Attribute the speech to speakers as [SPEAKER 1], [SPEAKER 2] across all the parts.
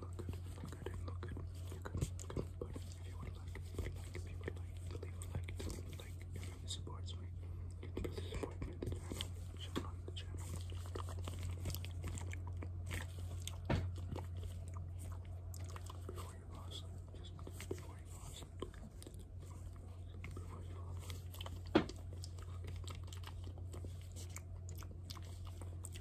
[SPEAKER 1] look good, look good, look good, you're good, good, but if you would like, if you would like, if you would like, leave a like, tell me like, it really supports me, it really supports me, the channel, should run the channel. Before you fall asleep, just before you fall asleep, before you fall asleep, before you fall asleep.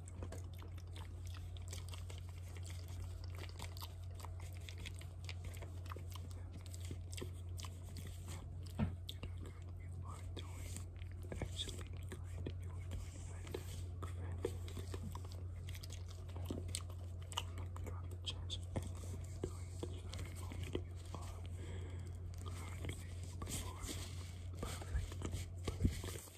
[SPEAKER 1] Actually, kind. You are doing fantastic, fantastic. I'm not gonna have the chance of anything you're doing at this very moment. You are currently performing perfectly, perfectly.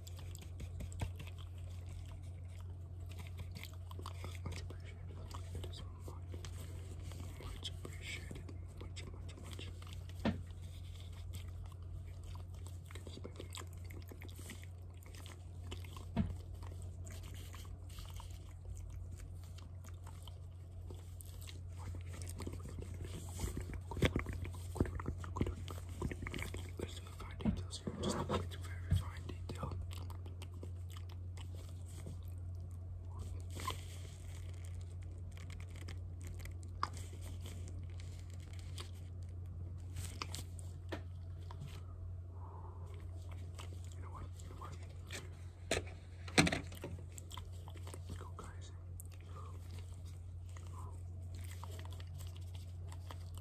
[SPEAKER 1] Much appreciated. It is much, much appreciated. Much, much, much. Get this baby. Let's do the fine details because you just look very fine detail. You know what? Let's go, guys.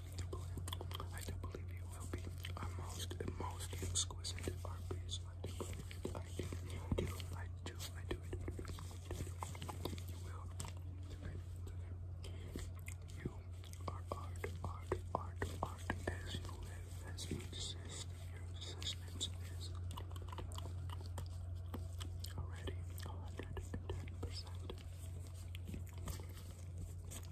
[SPEAKER 1] I do believe you will be our most, most exquisite art piece. I do I do, I do, I do, I do, I do, I do, You are art, art, art, art as you live, as you exist. Your existence is already 110%.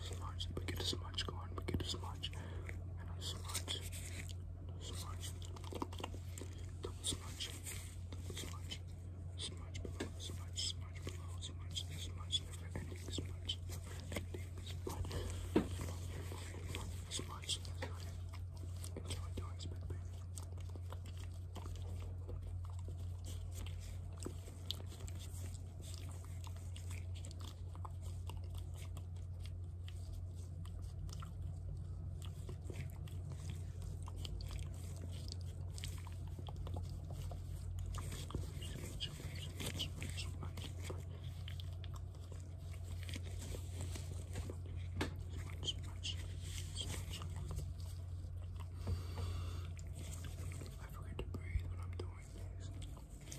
[SPEAKER 1] smudge, we get a smudge, go on, we get a smudge, smudge, smudge, double smudge, double smudge, smudge below, smudge, smudge below, smudge, smudge, never smudge, never smudge, smudge, enjoy doing spit baby. I forget to breathe when I'm doing this.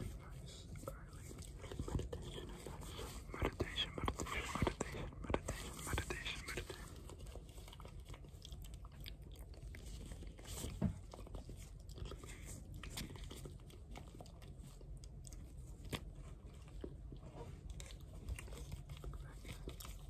[SPEAKER 1] Nice. Meditation. Meditation, meditation, meditation, meditation, meditation,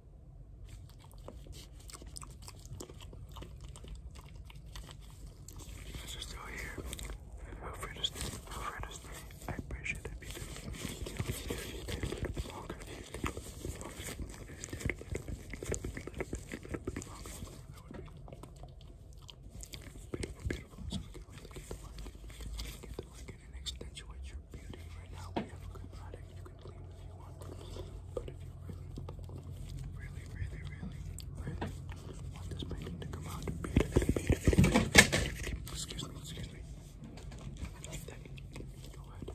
[SPEAKER 1] You guys here. Feel free to stay. Feel free I appreciate it if you a little bit longer, a little bit a little bit longer, that would be beautiful, beautiful. So we can really get to work. and accentuate your beauty. Right now, we have a good product you you But if you really, really, really, really, want this painting to come out beautifully, beautifully, excuse me, excuse me, go ahead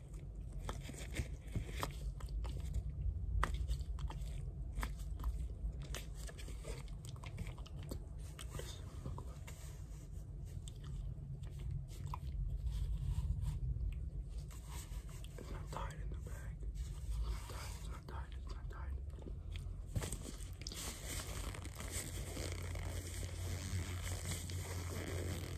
[SPEAKER 1] It's not tied in the bag. It's not tied. It's not tied. It's not tied. It's not tied.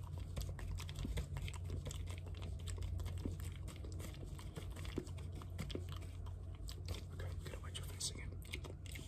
[SPEAKER 1] Okay, I'm gonna wipe your face again. Okay,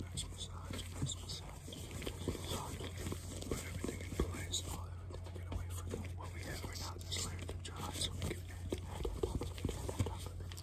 [SPEAKER 1] Nice massage, nice massage. Put everything in place. All everything to get away from them. What we have right now is layer to dry, so we can add to that on top of it, add on top of it.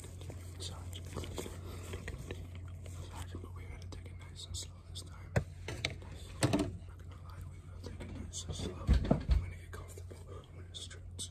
[SPEAKER 1] Continue massage. Continue But we gotta take it nice and slow this time. not gonna lie, we will take it nice and slow. I'm gonna get comfortable when it stretches.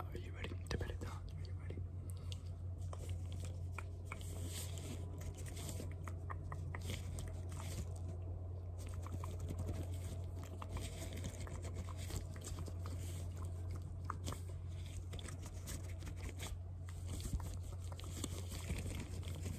[SPEAKER 1] are you ready to bed it down? Are you ready?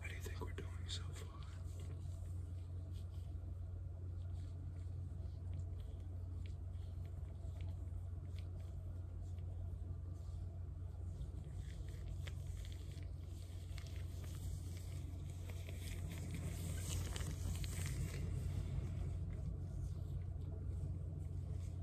[SPEAKER 1] How do you think we're doing so far?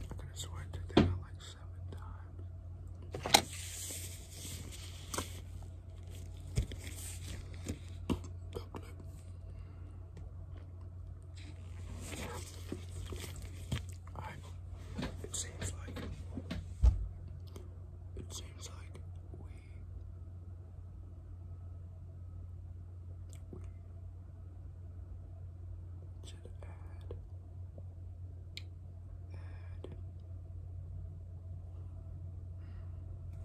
[SPEAKER 1] I could have sworn to that like seven times. I, it seems like it seems like we should add add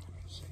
[SPEAKER 1] let me see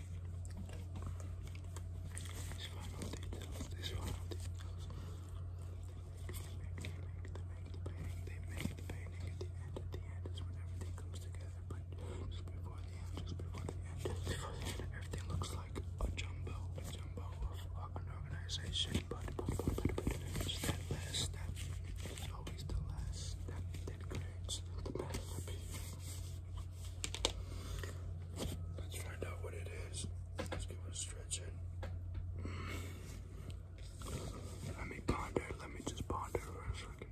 [SPEAKER 1] These final details, these final details. They make the painting at the end. At the end is when everything comes together, but just before the end, just before the end, just before the end, everything looks like a jumbo, jumbo of organization. But, it's that last step. It's always the last step that creates the masterpiece. Let's find out what it is. Let's give it a Let me ponder. Let me just ponder for a second.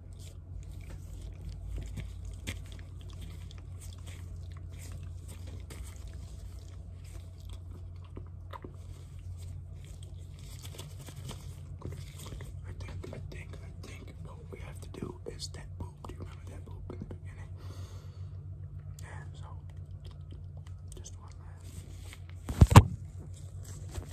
[SPEAKER 1] I think, I think, I think what we have to do is that boop. Do you remember that boop in the beginning? Yeah, so just one last.